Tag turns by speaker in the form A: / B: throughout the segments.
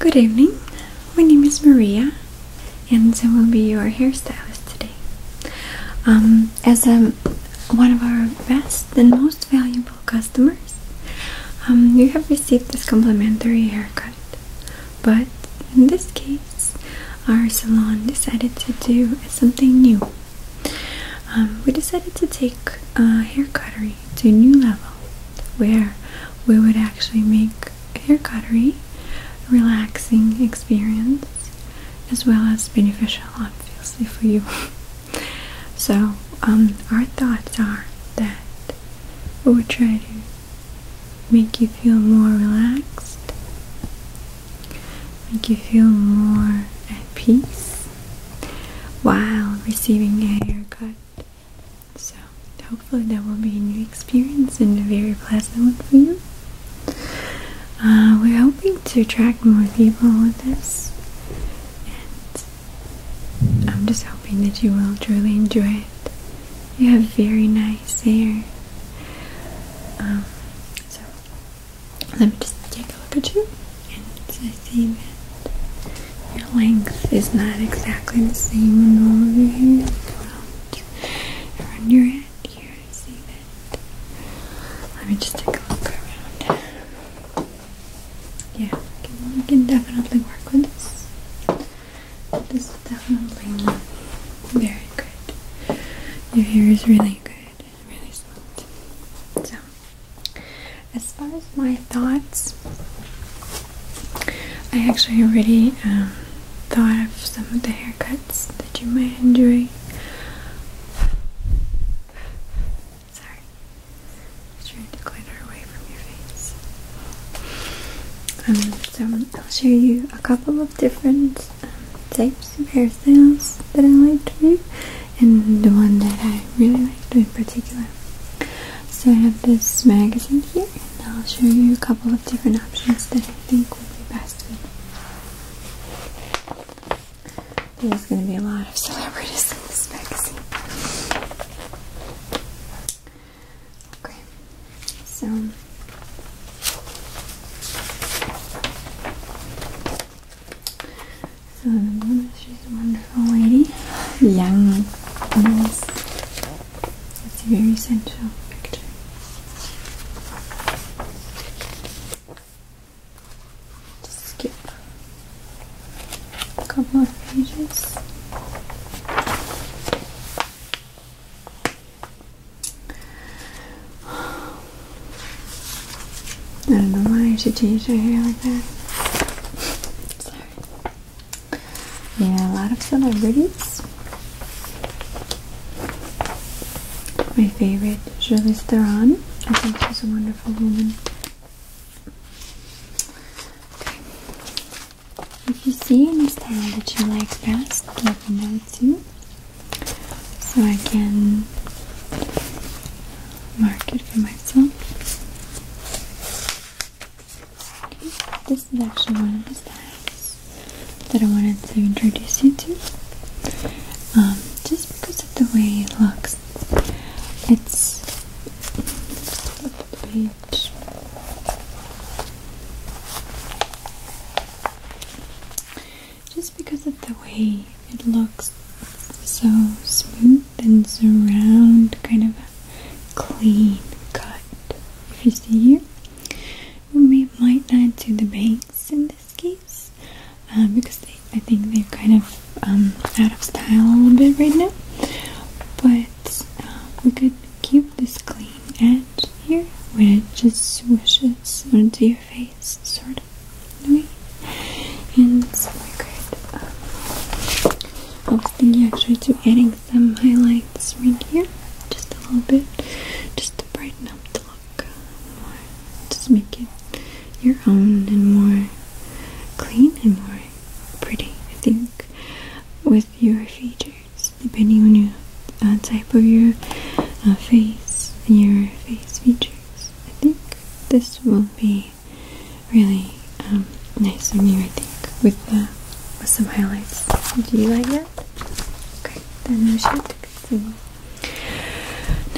A: Good evening. My name is Maria, and I will be your hairstylist today. Um, as one of our best and most valuable customers, um, you have received this complimentary haircut. But in this case, our salon decided to do something new. Um, we decided to take haircutting to a new level where we would actually make your hair cuttery relaxing experience as well as beneficial obviously for you so um, our thoughts are that we would try to make you feel more relaxed make you feel more at peace while receiving a haircut so hopefully that will be a new experience and a very pleasant one for you. Uh, we're hoping to attract more people with this, and I'm just hoping that you will truly enjoy it. You have very nice hair. Um, so let me just take a look at you and I see that your length is not exactly the same on all of your hair around, your head here, I see that let me just take a look around yeah, we can, can definitely work with this this is definitely very good your hair is really good, really smooth so as far as my thoughts, I actually already um, thought of some of the haircuts that you might enjoy. Sorry, I'm trying to glitter away from your face. Um, so I'll show you a couple of different um, types of hairstyles that I like to do, and the one that I really like in particular. So I have this magazine here and I'll show you a couple of different options that I think would be best fit. There's going to be a lot of celebrities in this magazine. Okay, so... So she's a wonderful lady, young, nice. It's a very sensual picture. Just skip a couple of pages. I don't know why she changed her hair like that. Yeah, a lot of celebrities. My favorite, Julie Theron. I think she's a wonderful woman. Okay. If you see any style that you like best, let me know too. So I can mark it for myself. This is actually one of the styles that I wanted to introduce you to. Um, just because of the way it looks. It's Just because of the way it looks so smooth then surround kind of clean cut if you see here we might not do the bangs in this case um, because I think they're kind of um, out of style a little bit right now but um, we could keep this clean edge here where it just swishes onto your face sort of and so we could um, I was thinking actually to adding some highlights right here, just a little bit, just to brighten up the look more, just make it your own and more clean and more pretty. I think with your features, depending on your uh, type of your uh, face your face features, I think this will be really um, nice of you, I think, with the, with some highlights. Do you like that? Okay, then we should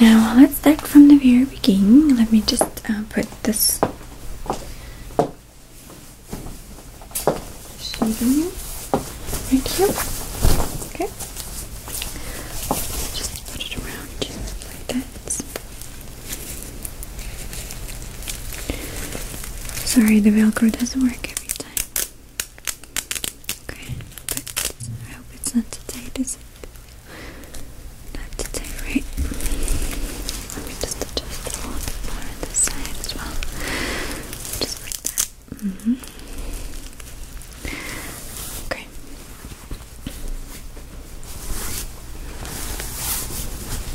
A: Now, let's start from the very beginning. Let me just uh, put this shade you, right here. Okay, just put it around like that. Sorry, the Velcro doesn't work every time. Okay, but I hope it's not too tight, is it? Not too right? Let me just adjust a little bit more on this side as well. Just like that. Mm-hmm. Okay.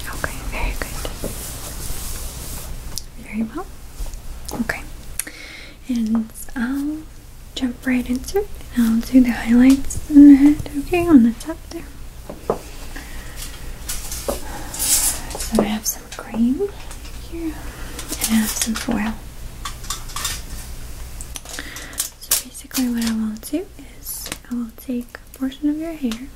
A: Okay, very good. Very well. Okay, and I'll jump right into it I'll do the highlights in the head, okay, on the top there. So I have some cream here and I have some foil. So basically what I will do is I will take portion of your hair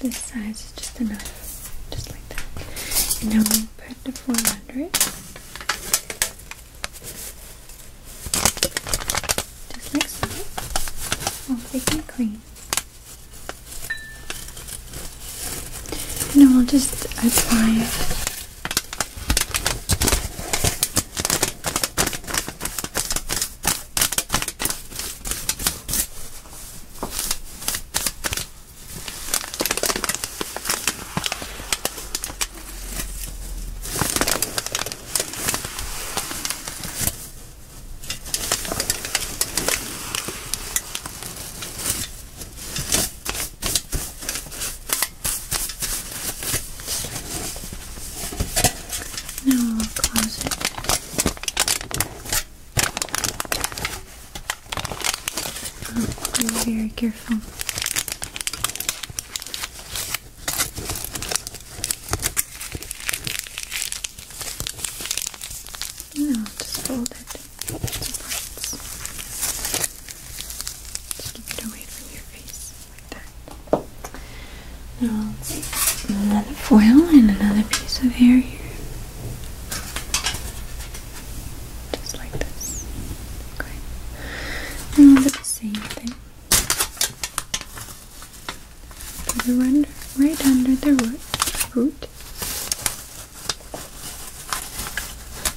A: this size is just enough just like that and now we'll put the form under it just like so all thick and clean and then we'll just apply it. Now we'll close it. Oh, be very careful and I'll just fold it into parts. Just keep it away from your face like that. Now let's see another foil and another piece of hair here. Just like this. Okay. And the same thing. Put right under the root. root.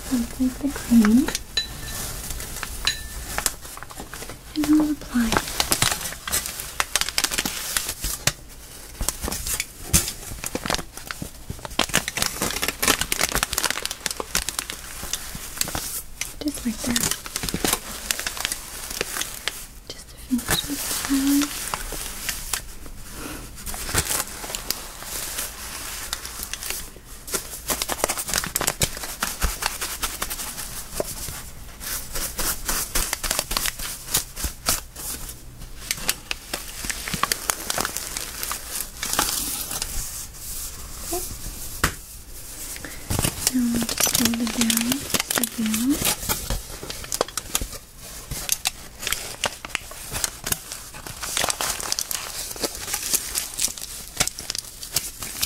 A: Complete the cream. And I'll apply Just like that. Just to finish this now we'll just hold it down just a bit.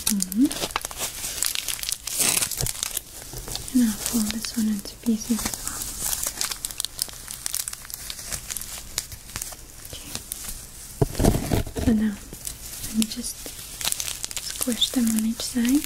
A: Mm-hmm. And I'll fold this one into pieces as well. Okay. So now let me just squish them on each side.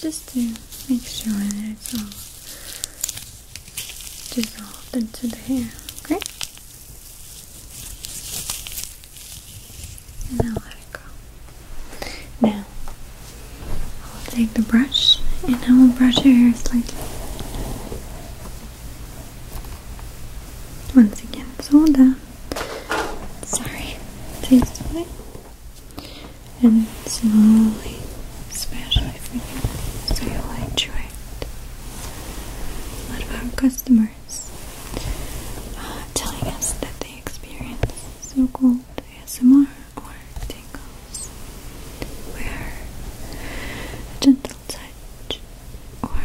A: just to make sure that it's all dissolved into the hair, okay? And I'll let it go. Now, I'll take the brush and I will brush your hair slightly. Once again, so that Sorry, taste away. And slowly, specially for you, so you enjoy it. A lot of our customers uh, telling us that they experience so called ASMR or tingles, where gentle touch or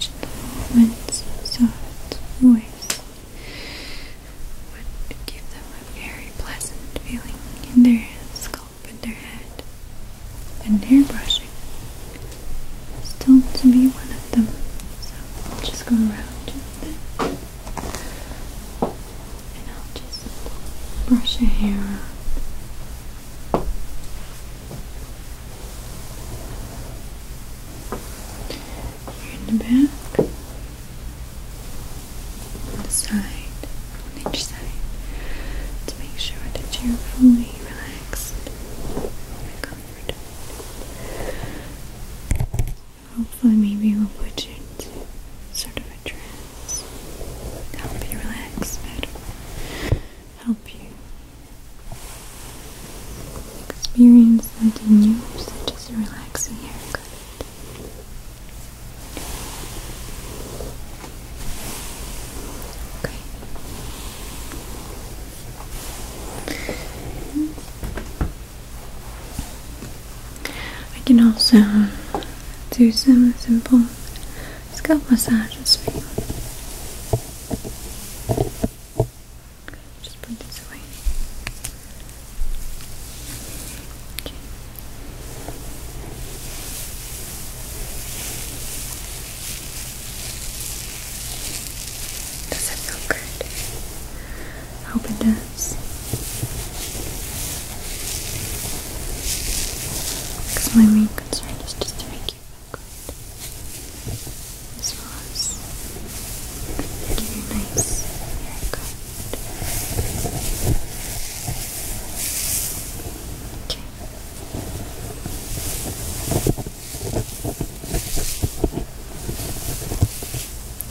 A: gentle movements soft voice would give them a very pleasant feeling in their scalp and their head and hair brushing. Still to be one of them. So I'll just go around just then. and I'll just brush your hair around in the back, on the side, on each side, to make sure that you're fully relaxed and comfortable. Hopefully, maybe we'll put you into sort of a trance, help you relax better, help you Experience something new, such as a relaxing haircut. Okay. I can also do some simple scalp massages for you. Okay just put this away. Okay. Does it feel good? I hope it does. Because my main concern is just to make you feel good as well as give you nice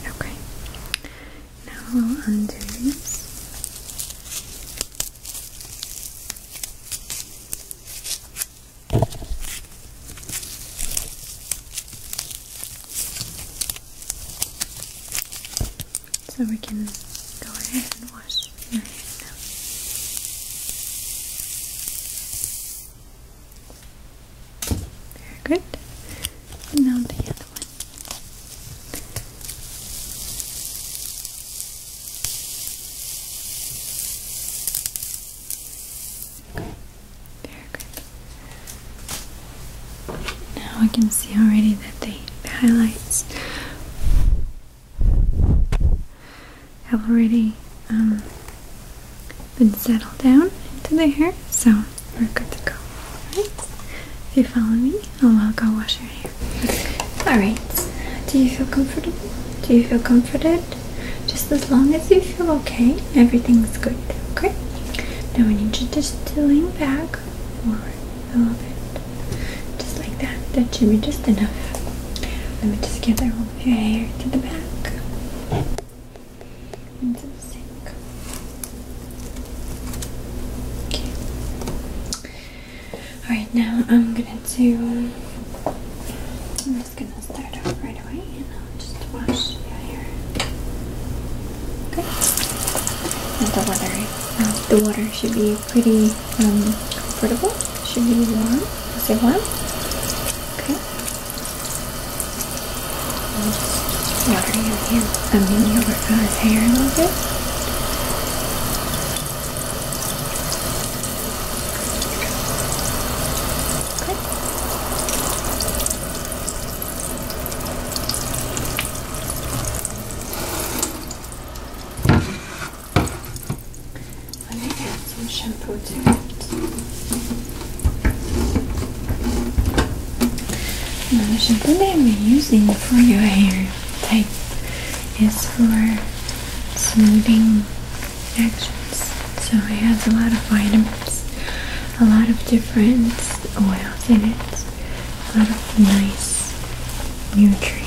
A: Okay. Okay. Now we'll undo these. So we can go ahead and wash my hair now. Very good. And now the other one very good. Now I can see already that the, highlights have already um, been settled down into the hair, so we're good to go. Alright, if you follow me, I'll go wash your hair. Alright, do you feel comfortable? Do you feel comforted? Just as long as you feel okay, everything's good. Okay? Now I need you just to lean back forward a little bit. Just like that. That should be just enough. Let me just gather all of your hair to the back. Into the sink. Okay. Alright, now I'm gonna do just gonna start off right away and I'll just wash your hair. Okay. And the water, uh, the water should be pretty um, comfortable. Should be warm. Is it warm? Okay. I'll just water your hair. I mean your uh, hair a little bit. Let me get some shampoo to it. Now the shampoo that we're using for your hair type is for smoothing so it has a lot of vitamins, a lot of different oils in it, a lot of nice nutrients.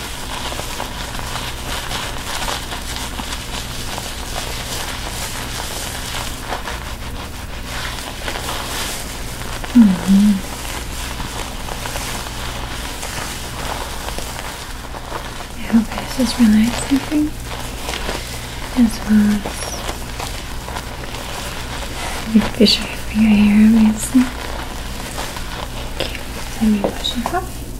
A: -hmm. I this is relaxing for you as well as beneficial for your hair, obviously. Thank you.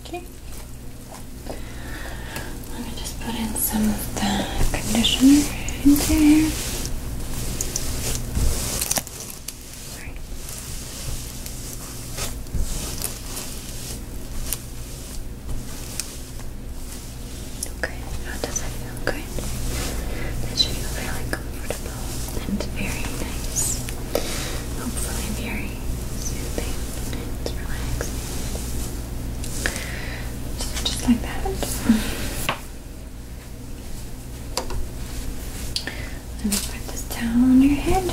A: Okay. Let me just put in some of the conditioner into here. Okay, how does that feel? Good. That should feel really comfortable and very nice. Hopefully, very soothing and relaxing. So just like that. Let me put this down on your head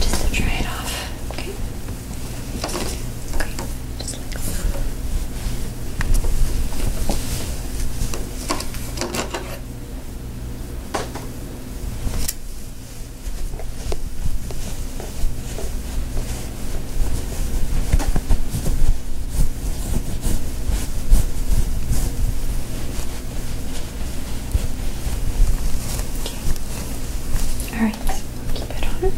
A: just to dry it off. Okay. Okay. Alright, I'll keep it on.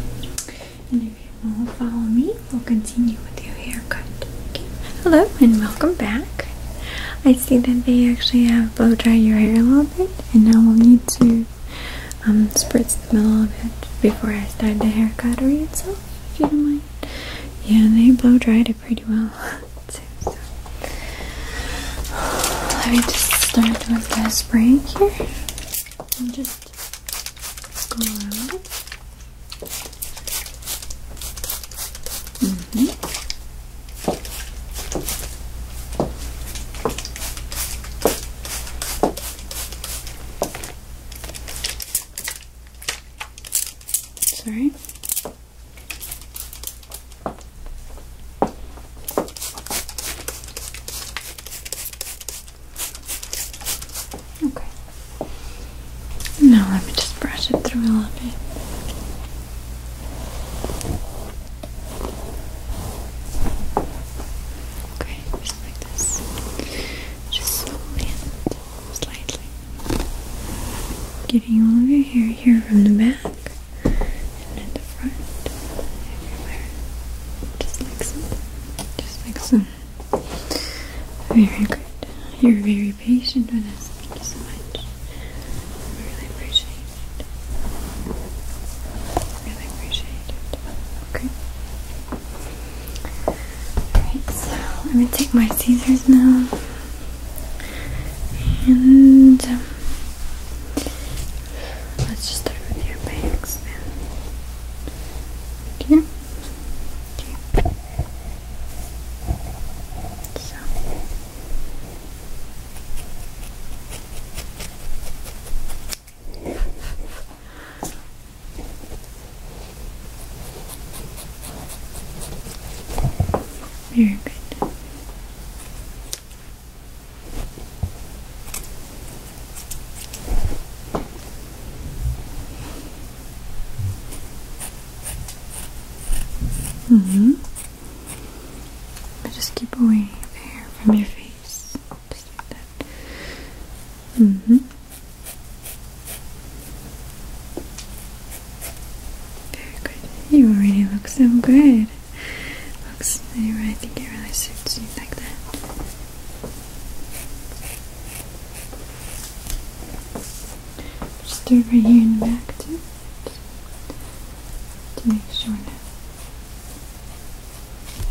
A: And if you want to follow me, we'll continue with your haircut. Hello and welcome back. I see that they actually have blow dried your hair a little bit, and now we'll need to um, spritz them a little bit before I start the hair cautery itself, if you don't mind. Yeah, they blow dried it pretty well let me just start with the spray here and just mm-hmm. Sorry. Okay. Now let me just brush it through a little bit. Okay, just like this. Just slowly slightly. Getting all of your hair here from the back and at the front, everywhere. Just like so. Just like so. Very good. You're very patient with us. Thank you so much. I really appreciate it. Really appreciate it. Okay. Alright, so I'm take my scissors now. And um, let's just start with your bangs then. Okay. okay. So. Very good. hmm. just keep away the hair from your face, just like that. hmm. You already look so good. Looks anyway, I think it really suits you like that. Just do it right here in the back too. To make sure that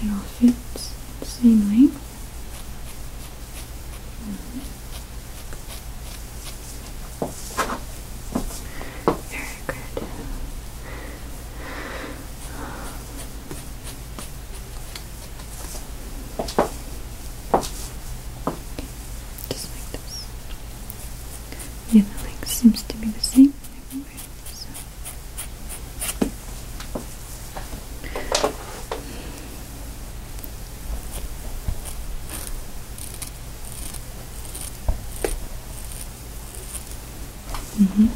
A: it all fits the same length. Mm-hmm. Very good. Just The other leg seems to be the same. Everywhere, Mm -hmm.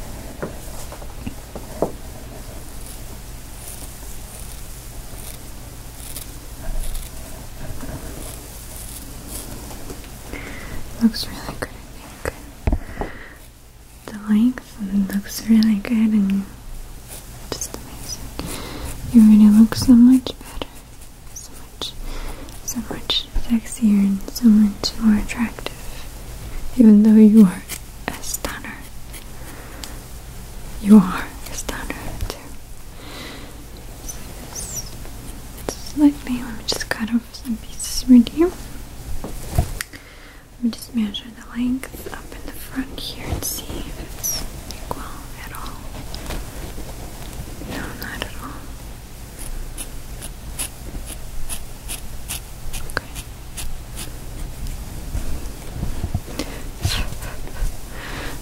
A: Looks really good, I think. The length looks really good, and just amazing. It really look so much better. So much, so much sexier and so much more attractive. Even though you are a stunner. You are a stunner too. slightly, let me just cut off some pieces right here. Let me just measure the length up in the front here and see if it's equal at all. No, not at all. Okay.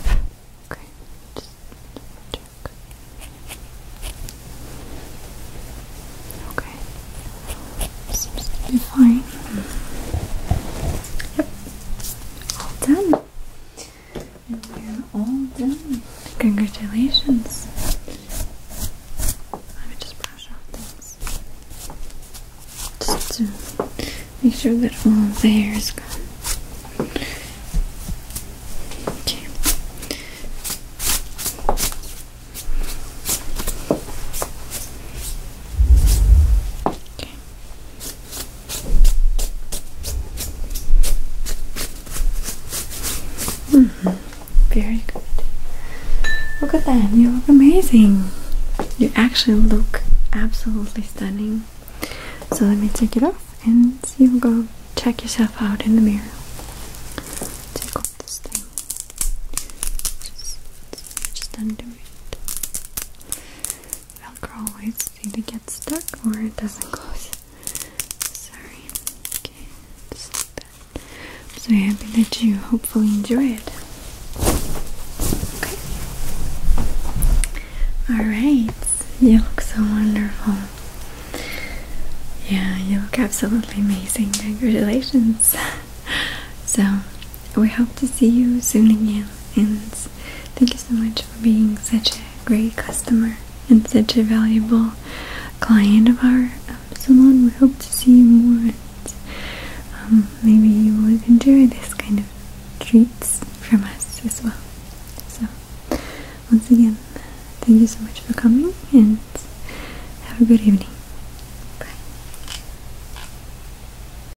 A: okay, just check. Okay. Seems to be fine. Yep, all done. And we're all done. Congratulations. Let me just brush off things. Just to make sure that all the hair is gone. Okay. Okay. Mm-hmm. Very good. Look at that, you look amazing. You actually look absolutely stunning. So let me take it off and you go check yourself out in the mirror. Take off this thing. just undo it. Velcro always either gets stuck or it doesn't close. Sorry. Okay, just I'm so happy that you hopefully enjoy it. Okay. Alright, you look so wonderful. Yeah, you look absolutely amazing. Congratulations. so, we hope to see you soon again. And thank you so much for being such a great customer and such a valuable client of our um, salon. We hope to see you more. And, um, maybe you will enjoy this kind of treats from us as well. So, once again, thank you so much for coming and have a good evening. Bye.